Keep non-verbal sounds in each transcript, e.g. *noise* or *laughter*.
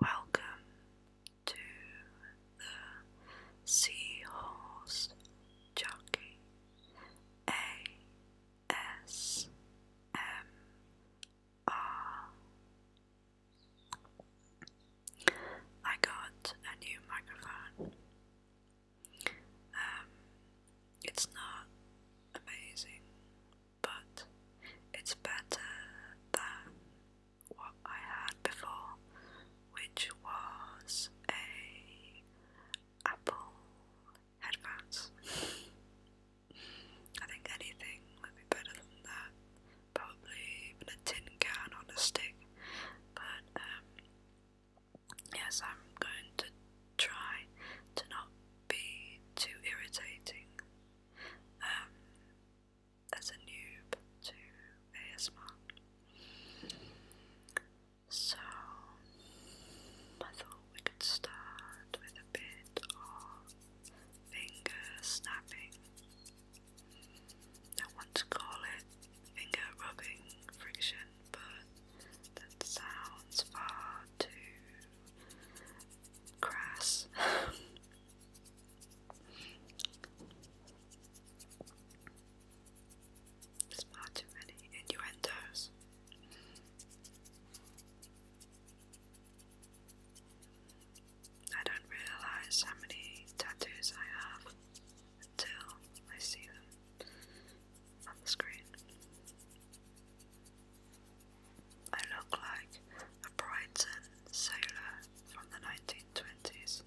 Welcome to the Seahorse Jockey ASMR. got a new microphone. Um, it's not amazing, but it's better than what I had before, which was a Apple headphones. I think anything would be better than that. Probably even a tin can on a stick. But um, yes I'm going to try to not be too irritating. Um, as a noob to ASMR. So I thought we could start with a bit of finger snapping. I want to call it finger rubbing friction, but that sounds far too crass. *laughs* It's far too many innuendos. I don't realize how many tattoos I have until I see them on the screen. I look like a Brighton sailor from the 1920s.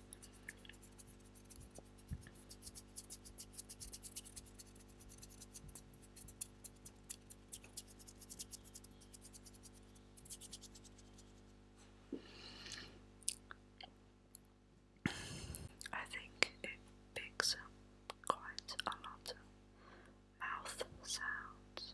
I think it picks quite a lot of mouth sounds.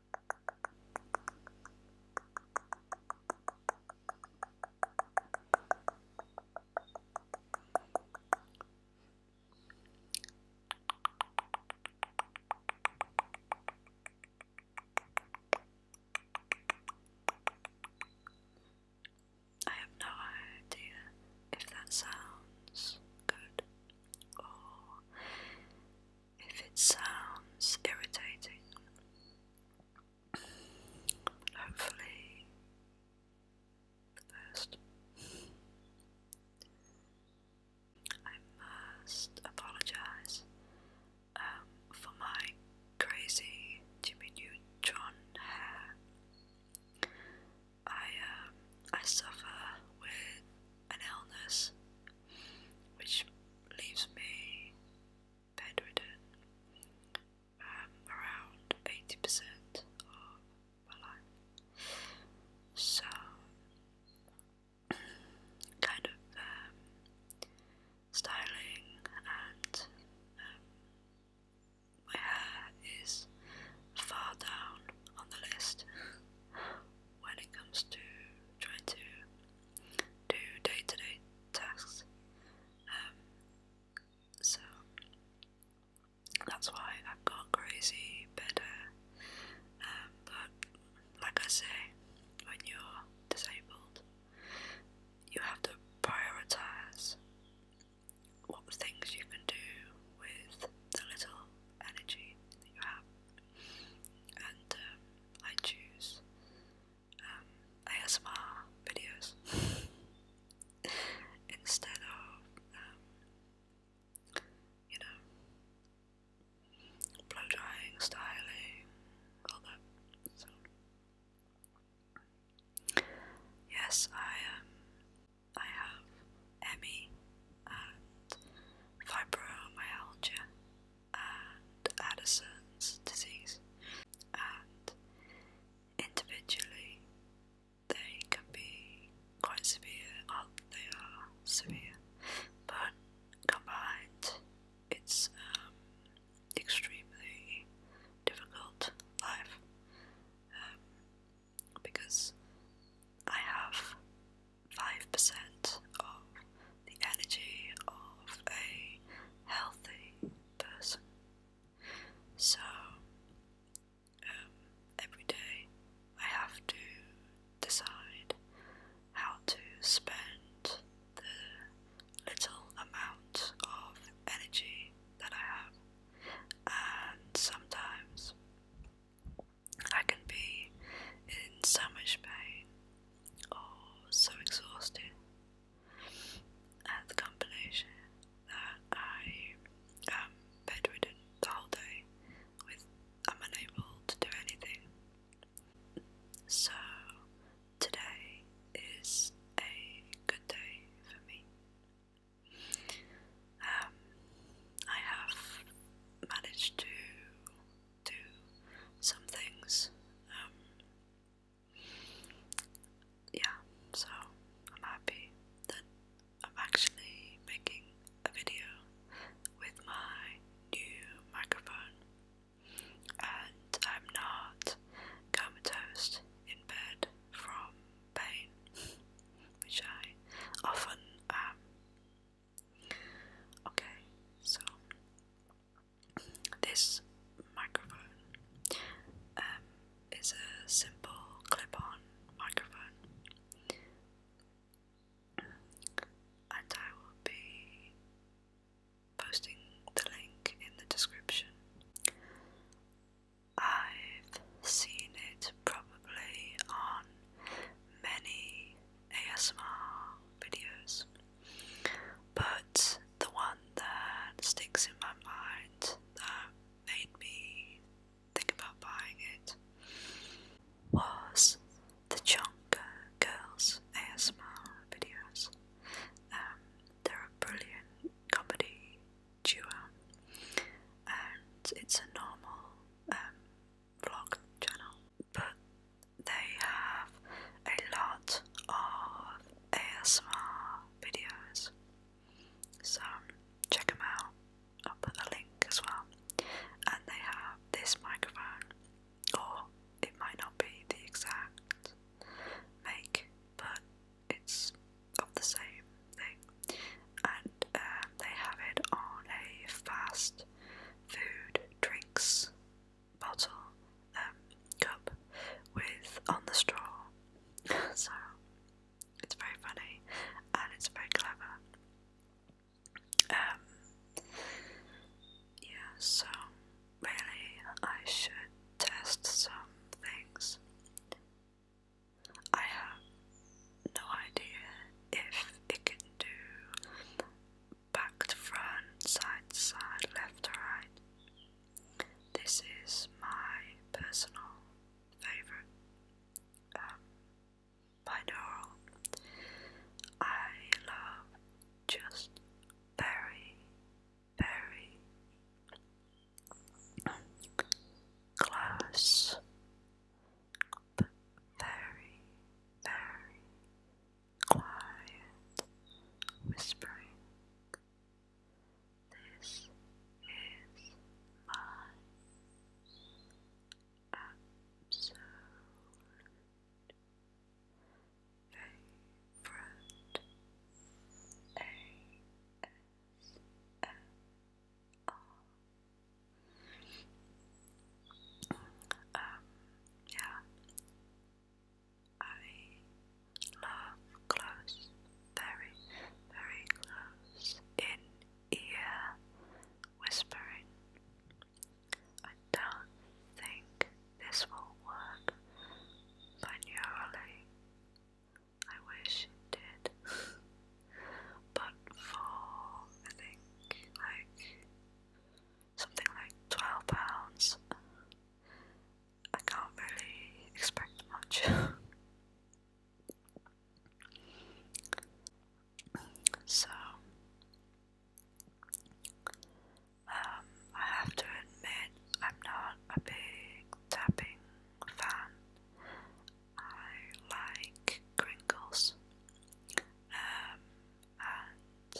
I have no idea if that sounds good or if it sounds irritating. hopefully, the best. I must apologize um, for my crazy Jimmy Neutron hair. I um, I suffer with an illness which leaves me bedridden. Um, around 80% of my life. So, *clears throat* kind of um, styling and um, my hair is far down on the list *laughs* when it comes to trying to do day-to-day tasks. Um, so that's why I've got crazy bed um, but like I say, when you're disabled, you have to prioritize what things you can do with the little energy that you have, and um, I choose um, ASMR videos *laughs* instead of, um, you know, blow drying, styling, all that. So, yes, I am. Um, I have ME and fibromyalgia, and Addison's disease, and individually they can be quite severe, or uh, they are severe, but combined it's um, extremely difficult life um, because I have 5% of the energy of a healthy person. So um, every day I have to decide how to spend the little amount of energy that I have, and sometimes I can be in so much pain oh, so exhausted at the combination that I am um, bedridden the whole day with I'm unable to do anything. So today is a good day for me. Um, I have managed to do some things um, yeah, so I'm happy that I'm actually making a video with my new microphone and I'm not comatose in bed from pain, which I often am. Okay, so this microphone um, is a simple clip-on microphone, and I will be posting the link in the description. I've seen it probably on many ASMR videos. But the one that sticks in my mind that made me think about buying it was the Chunk Girls ASMR videos. Um, they're a brilliant comedy duo, and it's a normal um, vlog channel but they have a lot of ASMR videos. So check them out. I'll put a link as well. And they have this microphone, or it might not be the exact make, but it's of the same thing. And um, they have it on a fast food drinks bottle um, cup with on the straw. *laughs* so it's very funny and it's very clever. Um, yeah, so really I should test some things. I have no idea if it can do back to front, side to side, left to right. This is my personal favorite um, binaural. I love just very, very close, very, very, quiet whispering. This is my absolute favorite ASMR. Um, yeah. I love close, very, very close in ear whispering. I don't think this will work binaurally. I wish it did. *laughs* but for I think like something like 12 pounds. I can't really expect much. *laughs* so, um, I have to admit, I'm not a big tapping fan. I like crinkles, um, and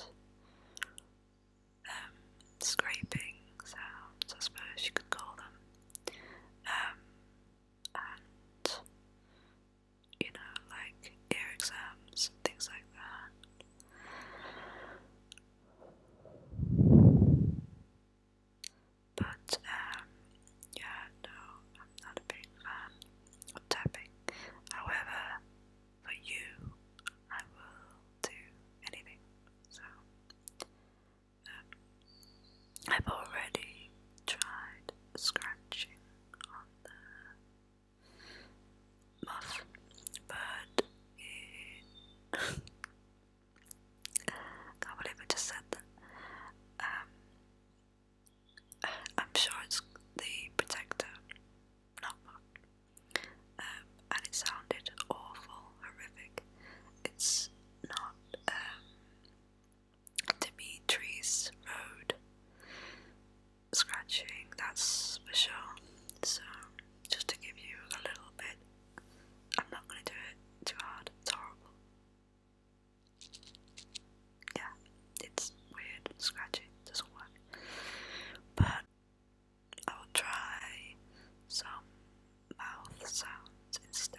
um, scraping sounds, I suppose you could call them. Um, and you know, like ear exams things like that. But um, yeah, no, I'm not a big fan of tapping. However, for you, I will do anything. So, um, I've already tried scratching on the muff, but it *laughs* can't believe I just said that. Um, I'm sure it's the protector, not um, and it sounded awful, horrific. It's not um, Dimitri's road scratching, that's for sure. So, just to give you a little bit, I'm not going to do it too hard, it's horrible. Yeah, it's weird, scratchy, doesn't work. But I'll try some mouth sounds instead.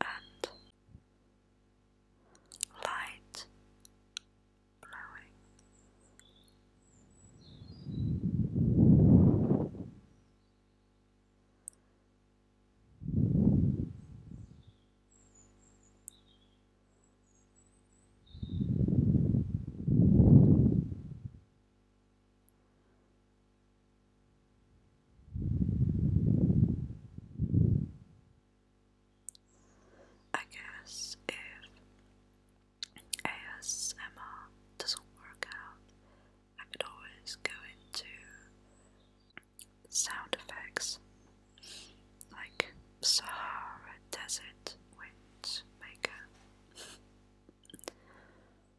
and light blowing. I guess if ASMR doesn't work out, I could always go into sound effects like Sahara Desert Wind Maker.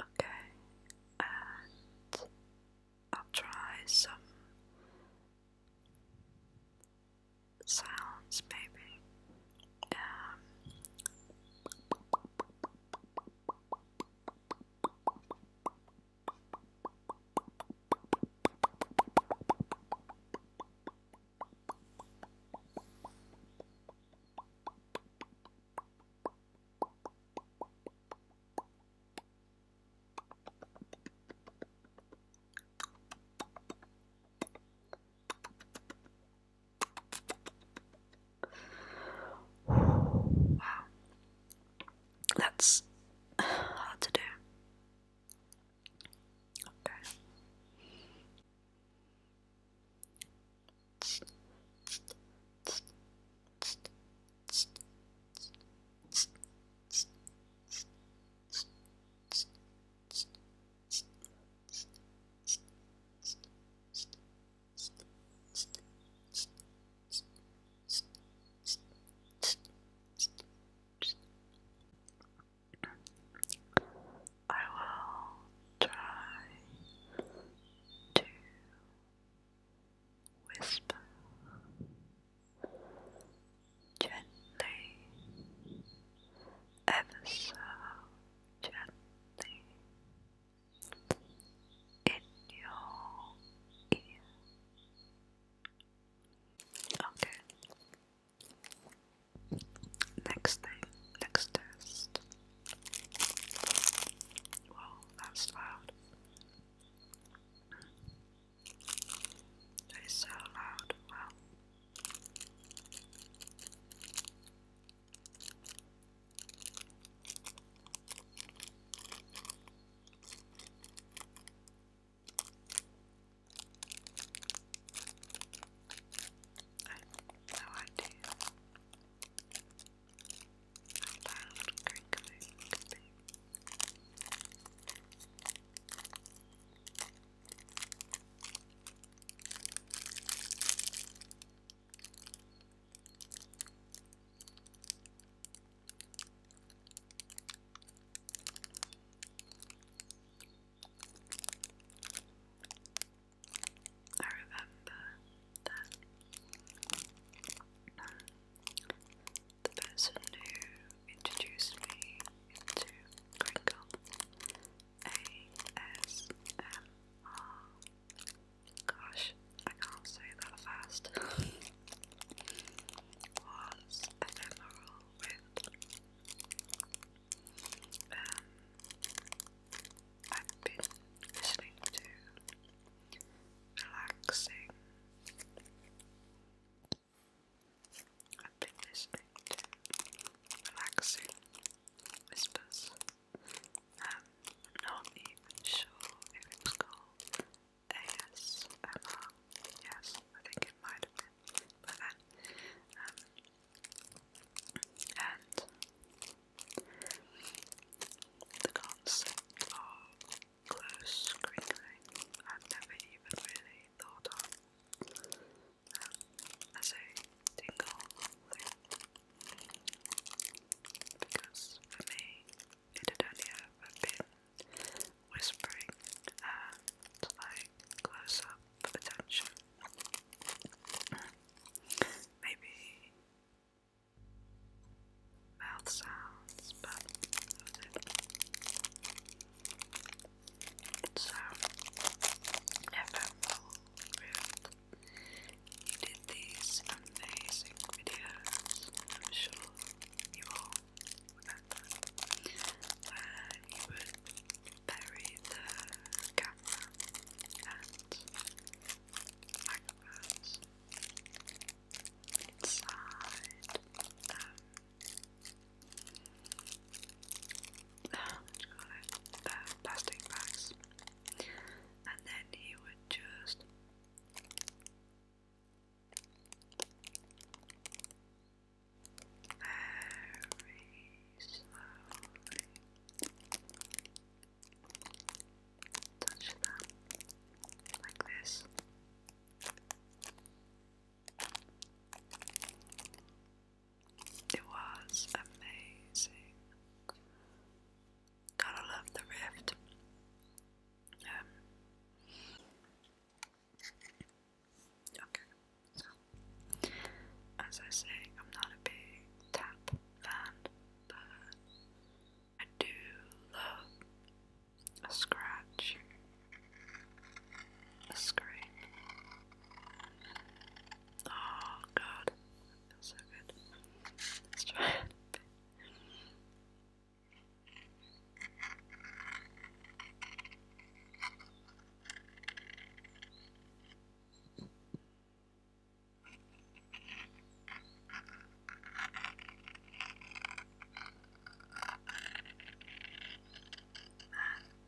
Okay, and I'll try some sounds, baby. Um, Wow. That's hard to do. I will try to whisper gently, ever so gently, in your ear. Okay. Next thing, next test. Whoa, that's loud. That is so loud. Wow. I have no idea. How loud crinkling could be. I remember that the person who introduced me into Crinkle ASMR. Gosh, I can't say that fast. was ephemeral with. Um, I've been listening to relaxing I've been relaxing whispers. Um, not even sure if it was called ASMR. Yes, I think it But then, um, and the concept of close screening I've never even really thought of as a tingle because for me it only ever been whispering like close up attention. Maybe mouth sounds, but it's never will rip. You did these amazing videos. I'm sure you all remember where you would bury the camera and microphones inside um, uh, uh, plastic bags, and then he would just very slowly touch them like this. It was amazing. Gotta love the rift. Um, okay, so as I say, I'm not a big tap fan, but I do love a scratch a screen. Oh god, that feels so good. Let's try Ah,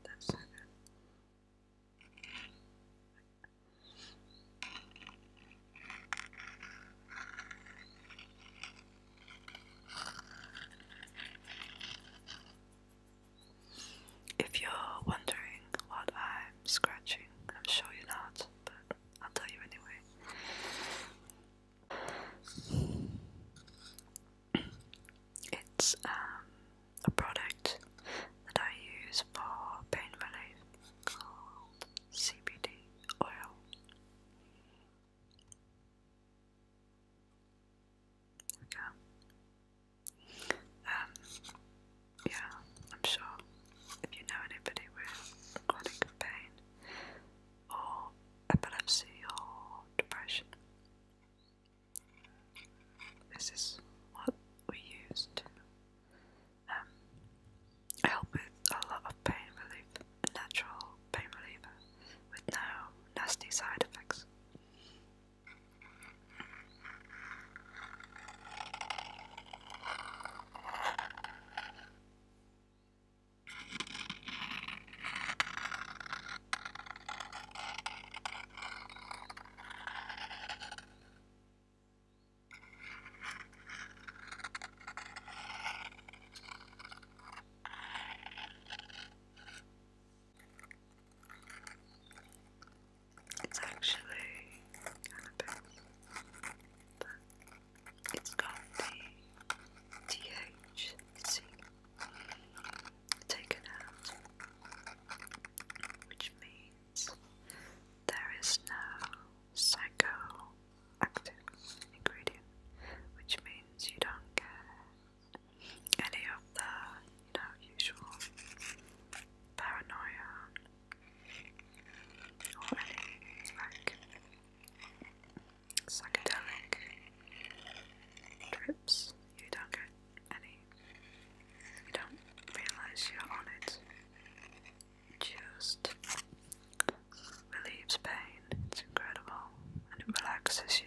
that's so good. If you're wondering what I'm scratching, I'm sure you're not, but I'll tell you anyway. It's um, a product that I use for pain relief called CBD oil. There we go. yeah, I'm sure if you know anybody with chronic pain or epilepsy or depression, this is what we used. Um, help with a lot of pain relief, natural pain reliever with no nasty side effects. It's actually kind of big, but it's got the THC taken out which means there is no psychoactive ingredient, which means you don't get any of the you know usual paranoia or like psychedelic trips. You don't get any. You don't realize you're on it. Just relieves pain. It's incredible, and it relaxes you.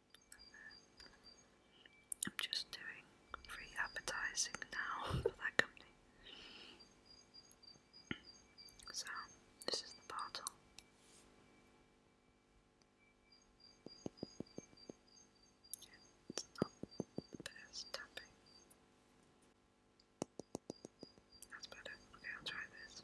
I'm just doing free advertising now *laughs* for that company. So, this is the bottle. It's not the best tapping. That's better. Okay, I'll try this.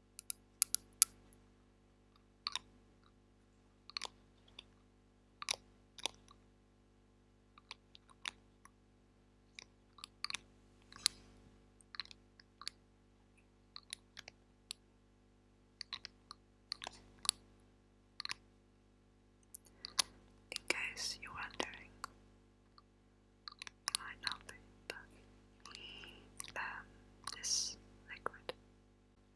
In case you're wondering, you might not this liquid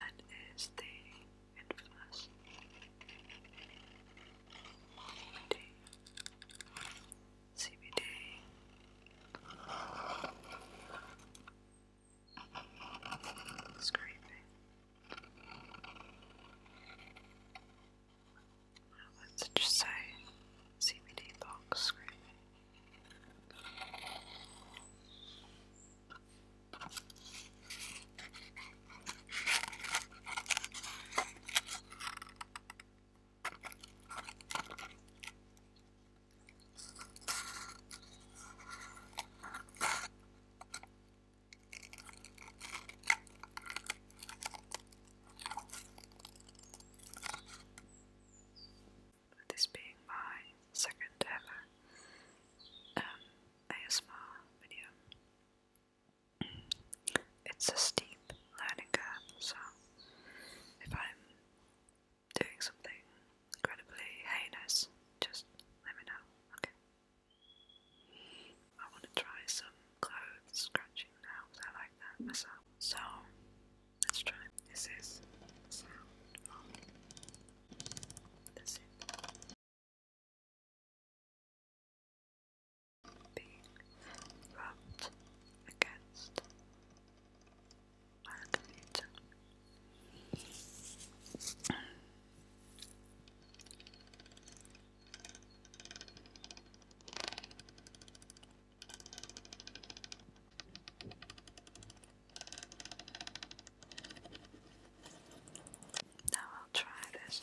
That is the infamous CBD. Scraping. Let's just say CBD box screen this being my second ever um, ASMR video. It's a steep learning curve, so if I'm doing something incredibly heinous, just let me know, okay? I want to try some clothes scratching now I like that myself. So let's try. This is sound of the being rubbed against now I'll try this.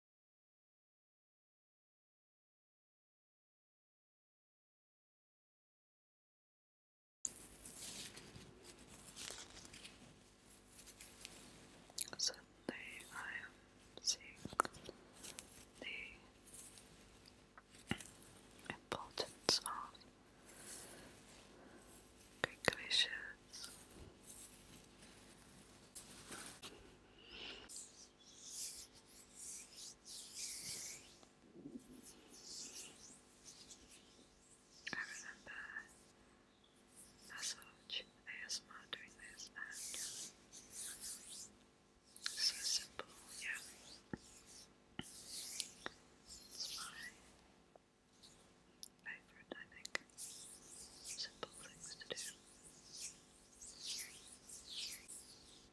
Suddenly, I am seeing the importance of quick wishes. I remember massage ASMR doing this so simple, yeah. It's my favourite, I think. Simple things to do.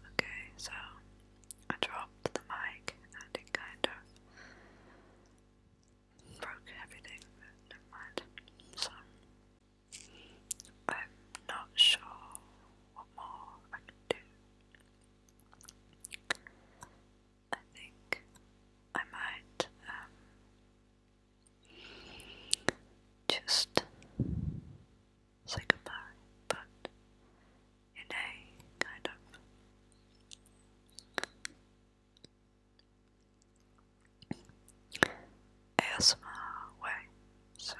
Okay, so I dropped the mic and it kind of broke everything, but never mind. So, I'm not sure what more I can do. I think I might um, just say goodbye, but in a kind of ASMR way. So,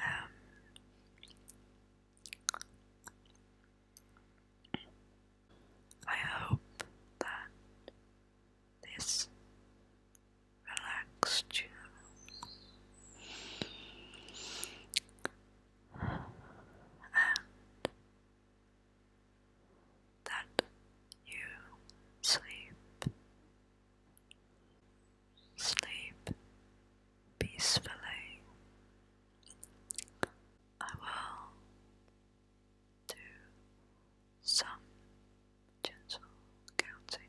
um, I hope that this relaxed you and that you sleep, sleep peacefully. I will do some gentle counting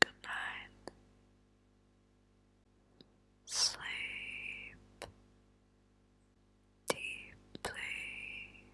Good night. Sleep deeply.